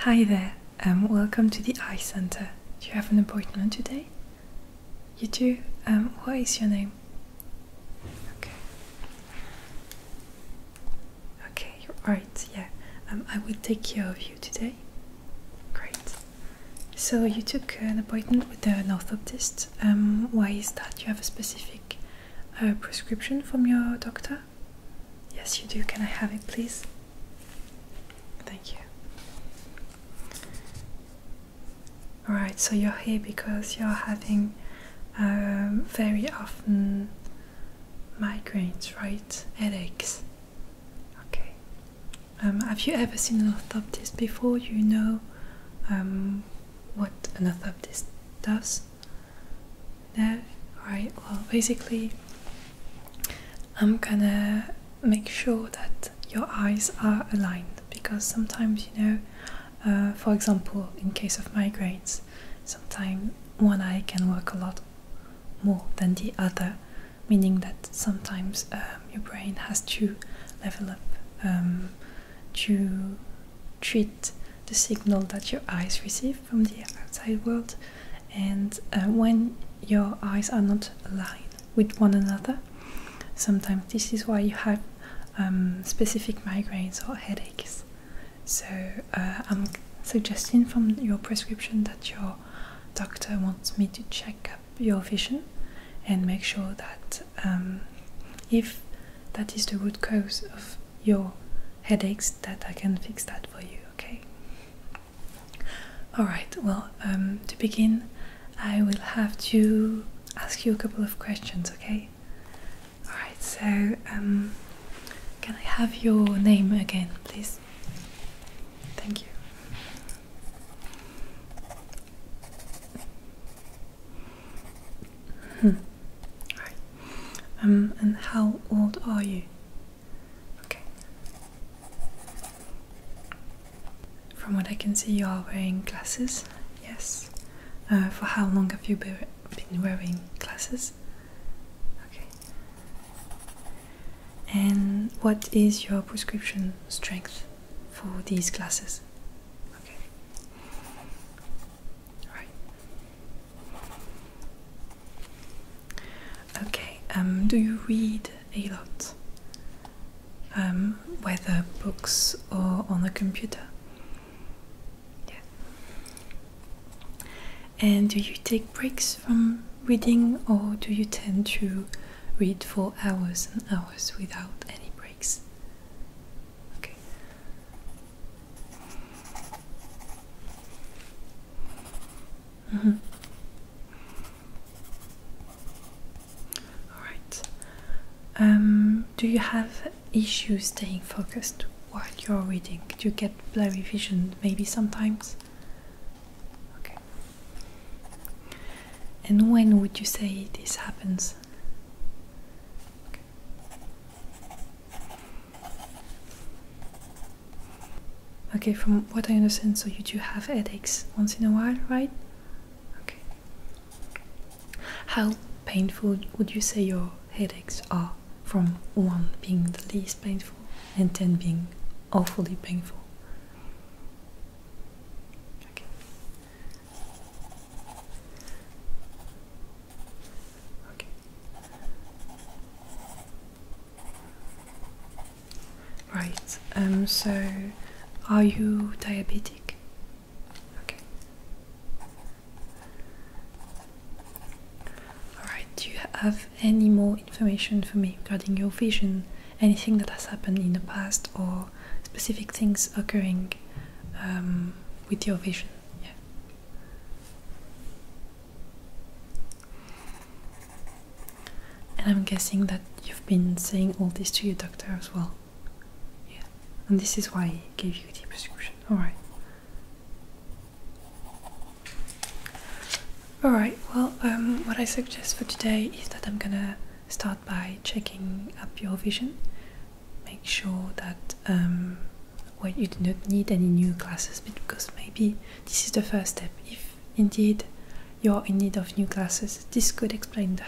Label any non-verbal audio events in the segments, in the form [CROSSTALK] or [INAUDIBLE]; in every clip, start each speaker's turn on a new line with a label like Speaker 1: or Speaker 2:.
Speaker 1: Hi there, um, welcome to the Eye Center. Do you have an appointment today? You do? Um, what is your name? Okay. Okay, you're right, yeah. Um, I will take care of you today. Great. So you took an appointment with an orthoptist. Um, why is that? You have a specific uh, prescription from your doctor? Yes, you do. Can I have it, please? Thank you. Alright, so you're here because you're having um, very often migraines, right? Headaches. Okay. Um, have you ever seen an orthoptist before? You know um, what an orthoptist does? No? Right. well, basically, I'm gonna make sure that your eyes are aligned because sometimes, you know, uh, for example, in case of migraines, sometimes one eye can work a lot more than the other meaning that sometimes um, your brain has to level up um, to treat the signal that your eyes receive from the outside world, and uh, when your eyes are not aligned with one another, sometimes this is why you have um, specific migraines or headaches. So uh, I'm suggesting from your prescription that your doctor wants me to check your vision and make sure that um, if that is the root cause of your headaches that I can fix that for you okay all right well um, to begin I will have to ask you a couple of questions okay all right so um, can I have your name again please Thank you. Hmm. Right. Um, and how old are you? Okay. From what I can see, you are wearing glasses. Yes. Uh, for how long have you been wearing glasses? Okay. And what is your prescription strength for these glasses? Okay. All right. Okay. Um, do you read a lot? Um, whether books or on the computer? Yeah. And do you take breaks from reading, or do you tend to read for hours and hours without any breaks? Okay. Mm -hmm. All right. Um, do you have issues staying focused while you're reading? Do you get blurry vision maybe sometimes? Okay. And when would you say this happens? Okay. from what I understand, so you do have headaches once in a while, right? Okay. How painful would you say your headaches are from 1 being the least painful and 10 being awfully painful? Okay. Okay. Right. Um so are you diabetic? Okay. All right. Do you have any more information for me regarding your vision, anything that has happened in the past, or specific things occurring um, with your vision. Yeah. And I'm guessing that you've been saying all this to your doctor as well. Yeah. And this is why he gave you the prescription. Alright. Alright, well, um, what I suggest for today is that I'm gonna start by checking up your vision. Make sure that um, well, you do not need any new glasses because maybe this is the first step. If indeed you're in need of new glasses, this could explain the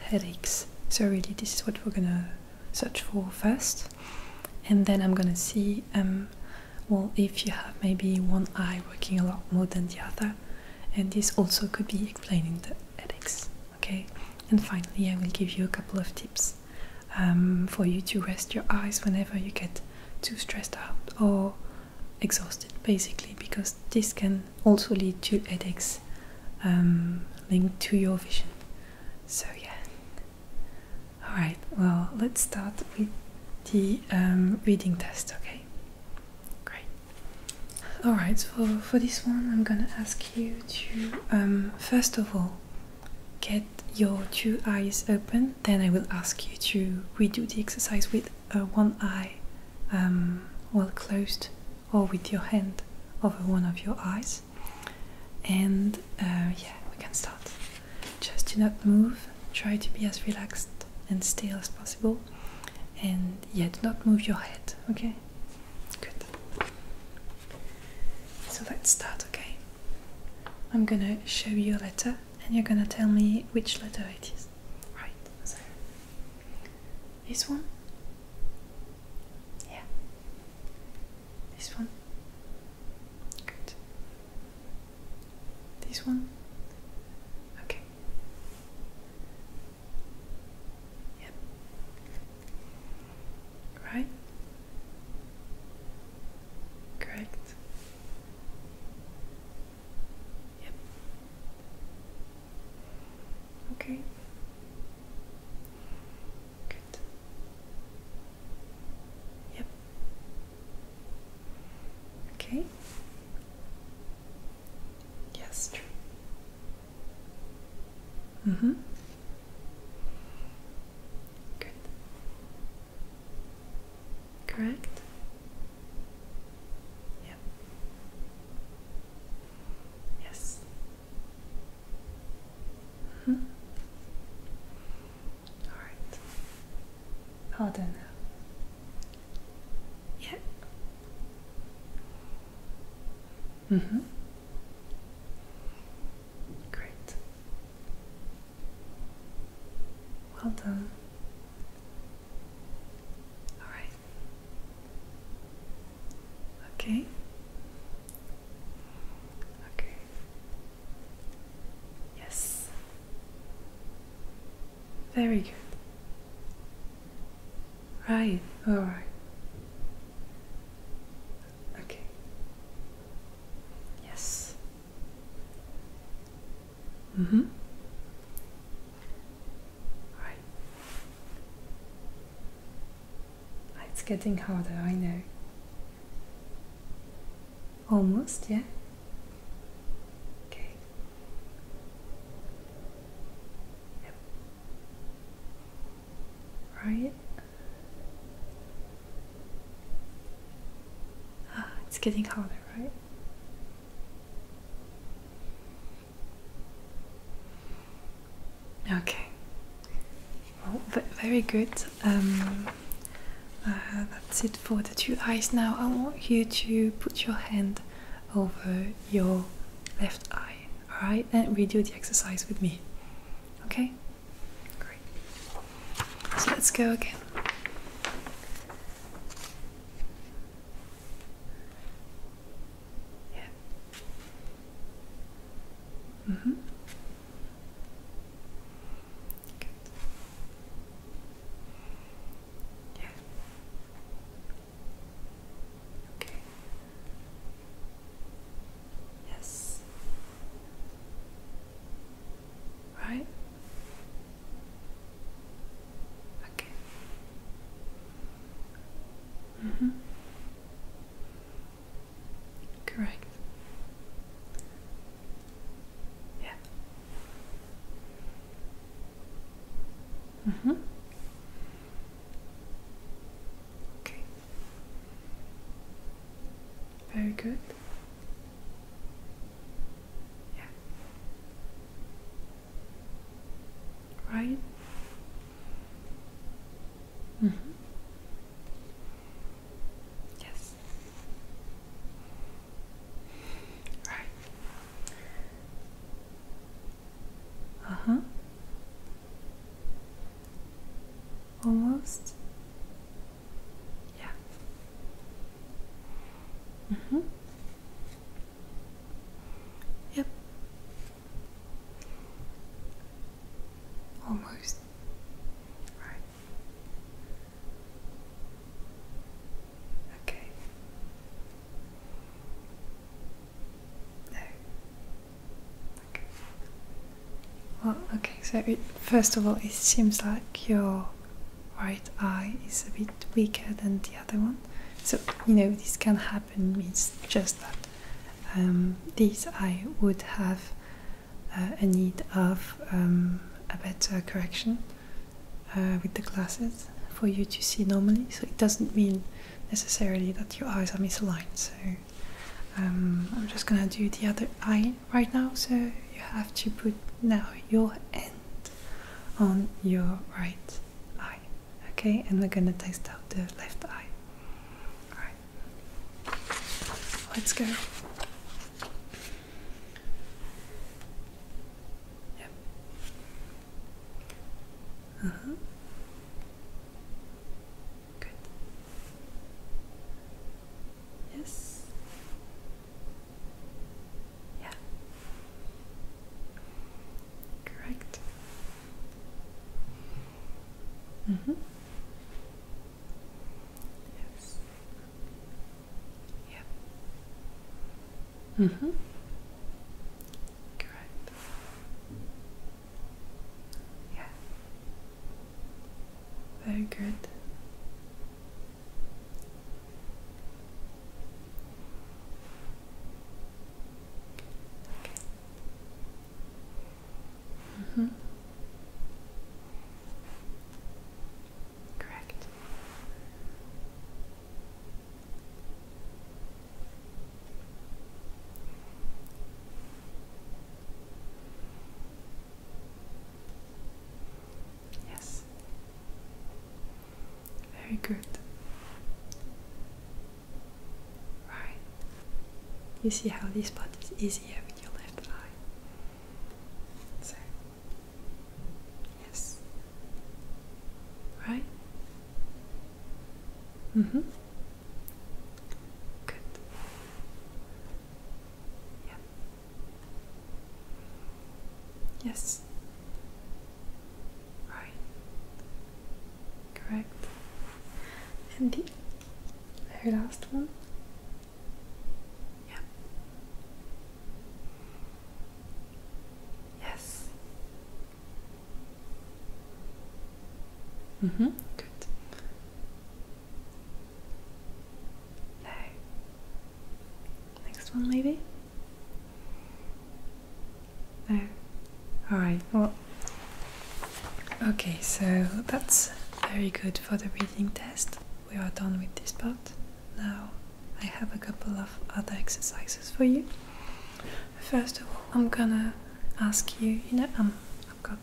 Speaker 1: headaches. So, really, this is what we're gonna search for first, and then I'm gonna see um, well if you have maybe one eye working a lot more than the other and this also could be explaining the headaches okay and finally i will give you a couple of tips um, for you to rest your eyes whenever you get too stressed out or exhausted basically because this can also lead to headaches um, linked to your vision so yeah all right well let's start with the um, reading test, okay? Great. Alright, so for this one, I'm gonna ask you to um, first of all get your two eyes open, then I will ask you to redo the exercise with uh, one eye um, well closed or with your hand over one of your eyes. And uh, yeah, we can start just do not move, try to be as relaxed and still as possible, and yet not move your head, okay? Good. So let's start, okay? I'm gonna show you a letter, and you're gonna tell me which letter it is. Right, this one? Yeah. This one? Good. This one? Okay. Yep. Right? Correct. Yep. Okay. Good. Yep. Okay. Yes, true. Mm-hmm. Good. Correct? Yeah. Yes. Mm -hmm. All right. Hold on. Yeah. Mm-hmm. Great. Well done. All right. Okay. Okay. Yes. Very good. Right, alright. Okay. Yes. Mm hmm. Right. It's getting harder, I know. Almost, yeah. Okay. Yep. Right. Ah, it's getting harder, right? Okay. very good. Um, uh, that's it for the two eyes. Now I want you to put your hand over your left eye, alright? And redo the exercise with me. Okay? Great. So let's go again. Yeah. Mm -hmm. Yes. Right? Okay. Mm-hmm. Correct. Yeah. Mm -hmm. Okay. Very good. Yeah. Right. Mm -hmm. Yes. Right. Uh huh. Almost. Yeah. Mm hmm. Yep. Almost. Right. Okay. No. Okay. Well, okay, so first of all, it seems like your right eye is a bit weaker than the other one. So, you know, this can happen, it's just that um, this eye would have uh, a need of um, a better correction uh, with the glasses for you to see normally. So it doesn't mean necessarily that your eyes are misaligned. So um, I'm just gonna do the other eye right now. So you have to put now your hand on your right eye. Okay, and we're gonna test out the left eye. Alright, let's go. Yep. Uh huh. Good. Yes. Yeah. Correct. Mm-hmm. Yes. Yeah. Mm hmm. Correct. Yeah. Very good. Okay. Mm -hmm. Correct. Yes. Very good. Right. You see how this part is easier with your left eye. So, yes, right? Mm-hmm. Good. Yeah. Yes. Right. Correct. And the very last one. Yep. Yes. Mm-hmm. Good. No. Next one, maybe? No. Alright, well. Okay, so that's very good for the breathing test we are done with this part. Now I have a couple of other exercises for you. First of all, I'm gonna ask you, you know, um, I've got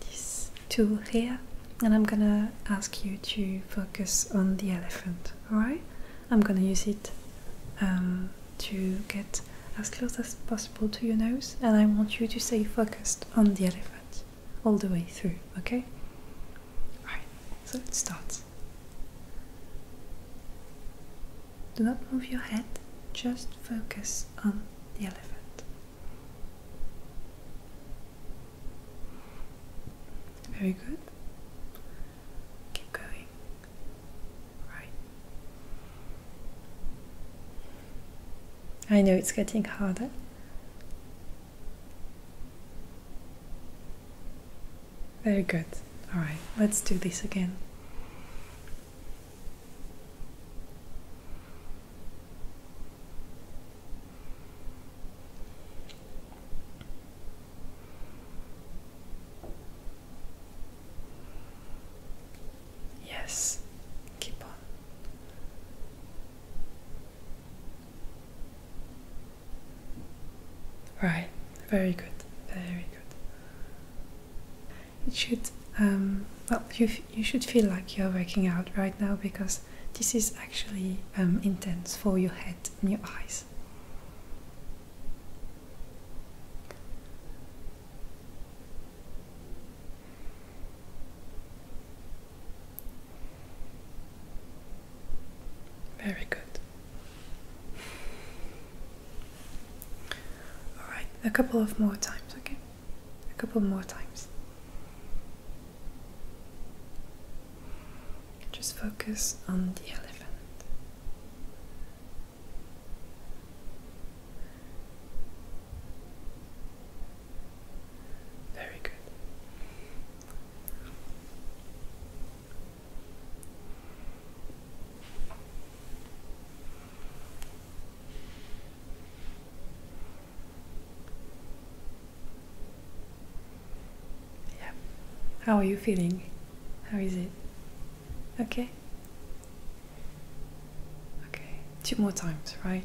Speaker 1: this tool here and I'm gonna ask you to focus on the elephant, alright? I'm gonna use it um, to get as close as possible to your nose and I want you to stay focused on the elephant all the way through, okay? Alright, so let's start. Do not move your head, just focus on the elephant. Very good. Keep going. Right. I know it's getting harder. Very good. All right, let's do this again. Yes, keep on. Right, very good, very good. It should, um, well, you, you should feel like you're working out right now because this is actually um, intense for your head and your eyes. Very good. All right, a couple of more times, okay? A couple more times. Just focus on the elephant. Very good. Yeah. How are you feeling? How is it? Okay. Okay. Two more times, right?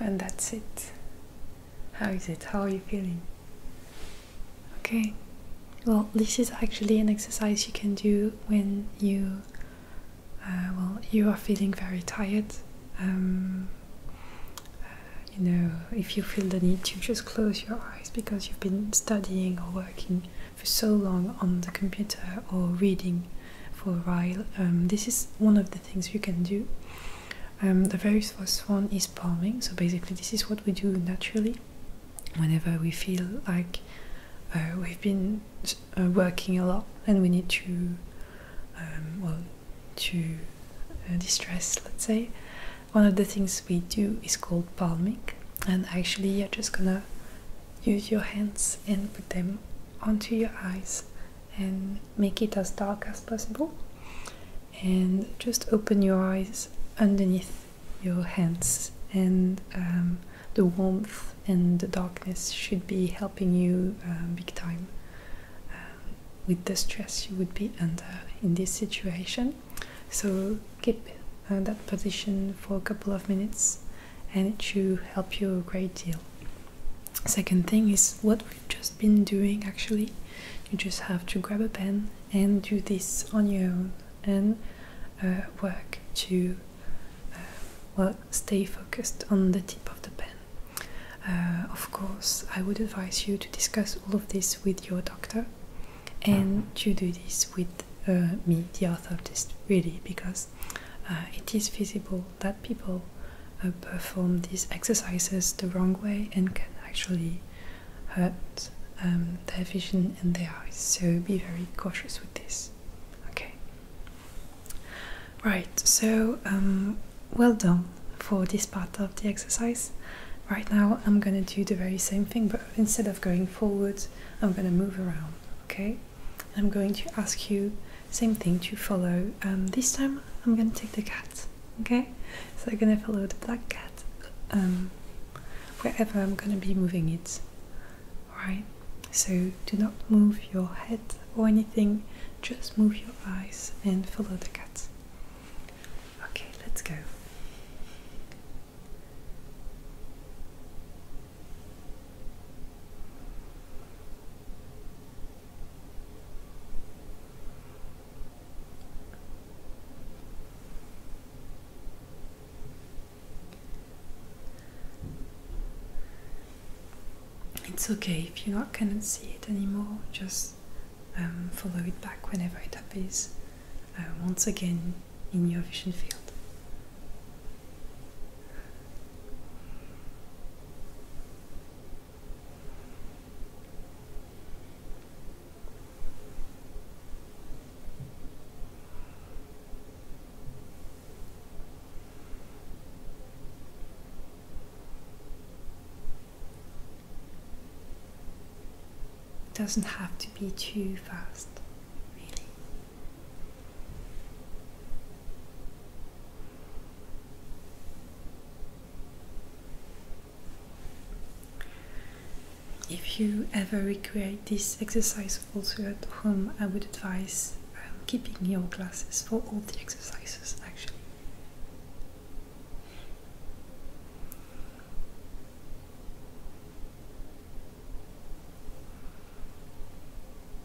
Speaker 1: And that's it. How is it? How are you feeling? Okay. Well, this is actually an exercise you can do when you, uh, well, you are feeling very tired. Um, uh, you know, if you feel the need you just close your eyes because you've been studying or working for so long on the computer or reading for a while, um, this is one of the things you can do. Um, the very first one is palming, so basically, this is what we do naturally whenever we feel like uh, we've been uh, working a lot and we need to, um, well, to uh, distress, let's say. One of the things we do is called palming, and actually, you're just gonna use your hands and put them onto your eyes and make it as dark as possible and just open your eyes underneath your hands and um, the warmth and the darkness should be helping you um, big time um, with the stress you would be under in this situation so keep uh, that position for a couple of minutes and it should help you a great deal Second thing is what we've just been doing actually. You just have to grab a pen and do this on your own and uh, work to uh, well stay focused on the tip of the pen. Uh, of course, I would advise you to discuss all of this with your doctor and to do this with me, the orthoptist, really, because uh, it is visible that people uh, perform these exercises the wrong way and can actually hurt um, their vision and their eyes. So be very cautious with this. Okay. Right, so um, well done for this part of the exercise. Right now, I'm gonna do the very same thing, but instead of going forward, I'm gonna move around. Okay, I'm going to ask you same thing to follow. Um, this time I'm gonna take the cat. Okay, so I'm gonna follow the black cat um, wherever I'm gonna be moving it. Alright, so do not move your head or anything, just move your eyes and follow the cat. Okay, let's go. It's okay if you not cannot see it anymore. Just um, follow it back whenever it appears uh, once again in your vision field. It doesn't have to be too fast, really. If you ever recreate this exercise also at home, I would advise um, keeping your glasses for all the exercises actually.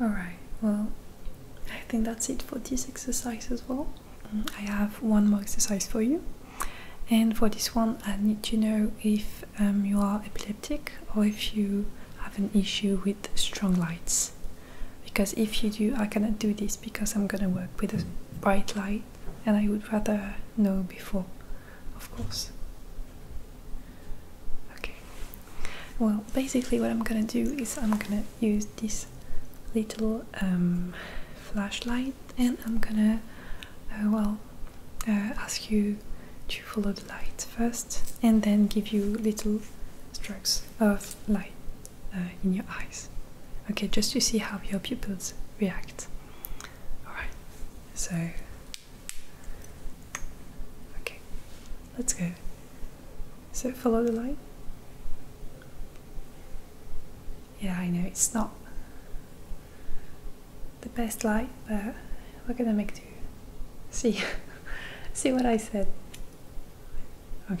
Speaker 1: Alright, well, I think that's it for this exercise as well. Mm, I have one more exercise for you. And for this one, I need to know if um, you are epileptic or if you have an issue with strong lights. Because if you do, I cannot do this because I'm gonna work with a bright light and I would rather know before, of course. Okay, well, basically, what I'm gonna do is I'm gonna use this little um, flashlight and I'm gonna, uh, well, uh, ask you to follow the light first and then give you little strokes of light uh, in your eyes. Okay, just to see how your pupils react. Alright, so. Okay, let's go. So follow the light. Yeah, I know it's not the best light, but we're gonna make do. See, [LAUGHS] see what I said. Okay.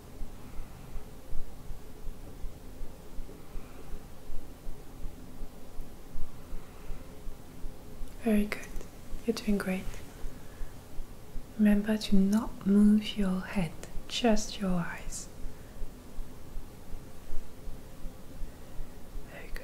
Speaker 1: Very good. You're doing great. Remember to not move your head, just your eyes. Very good.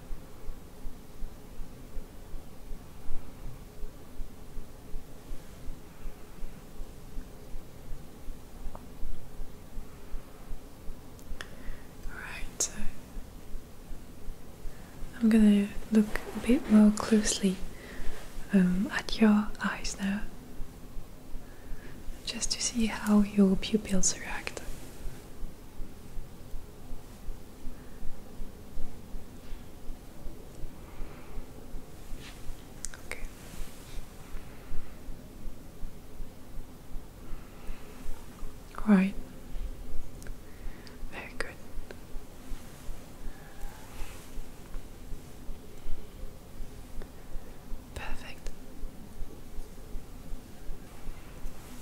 Speaker 1: Alright, so I'm gonna look a bit more closely um, at your eyes now, just to see how your pupils react. Okay. Right. Very good. Perfect.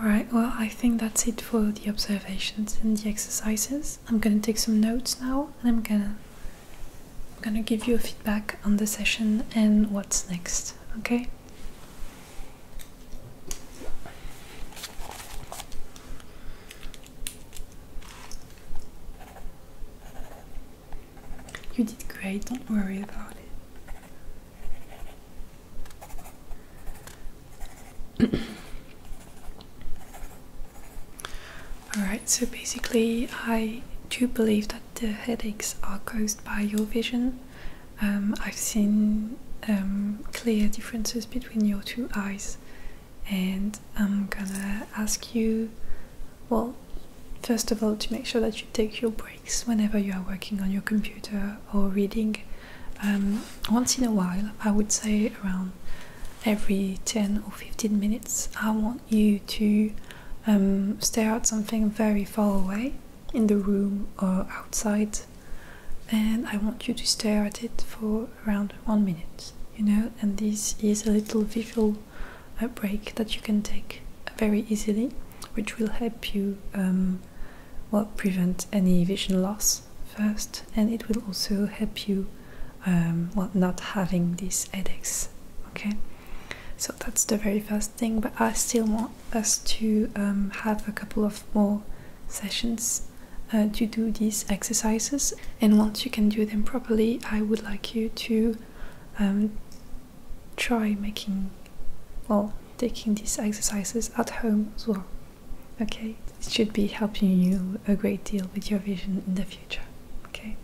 Speaker 1: Alright, well, I think that's it for the observations and the exercises. I'm gonna take some notes now and I'm gonna, I'm gonna give you a feedback on the session and what's next, okay? You did great, don't worry about it. [COUGHS] Alright, so basically, I do believe that the headaches are caused by your vision. Um, I've seen um, clear differences between your two eyes, and I'm gonna ask you, well, first of all, to make sure that you take your breaks whenever you are working on your computer or reading. Um, once in a while, I would say around every 10 or 15 minutes, I want you to um, stare at something very far away in the room or outside, and I want you to stare at it for around one minute, you know, and this is a little visual break that you can take very easily, which will help you um, well, prevent any vision loss first, and it will also help you um, well, not having these headaches. Okay, so that's the very first thing, but I still want us to um, have a couple of more sessions uh, to do these exercises, and once you can do them properly. I would like you to um, try making well, taking these exercises at home as well. Okay, it should be helping you a great deal with your vision in the future. Okay,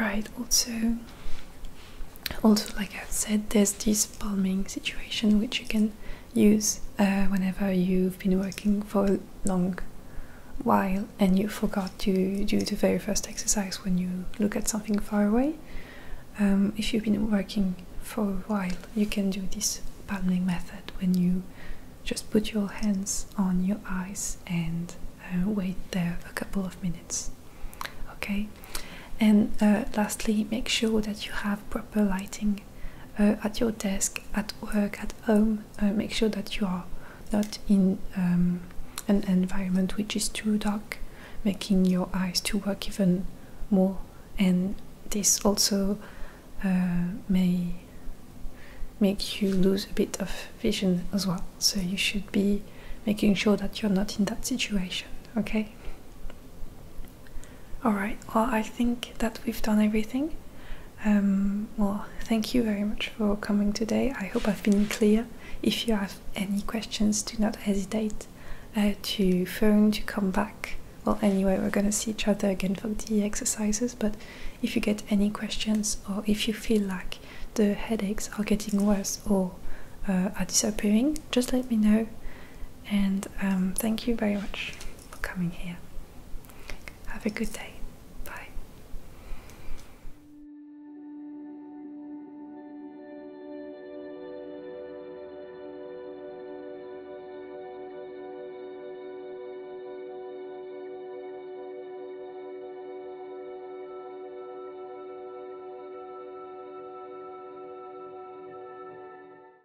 Speaker 1: right, also. Also, like I said, there's this palming situation which you can use uh, whenever you've been working for a long while and you forgot to do the very first exercise when you look at something far away. Um, if you've been working for a while, you can do this palming method when you just put your hands on your eyes and uh, wait there a couple of minutes. Okay? And uh, lastly, make sure that you have proper lighting uh, at your desk, at work, at home. Uh, make sure that you are not in um, an environment which is too dark, making your eyes to work even more. And this also uh, may make you lose a bit of vision as well. So you should be making sure that you're not in that situation, okay? Alright, well, I think that we've done everything. Um, well, thank you very much for coming today. I hope I've been clear. If you have any questions, do not hesitate uh, to phone, to come back. Well, anyway, we're going to see each other again for the exercises, but if you get any questions or if you feel like the headaches are getting worse or uh, are disappearing, just let me know. And um, thank you very much for coming here. Have a good day. Bye.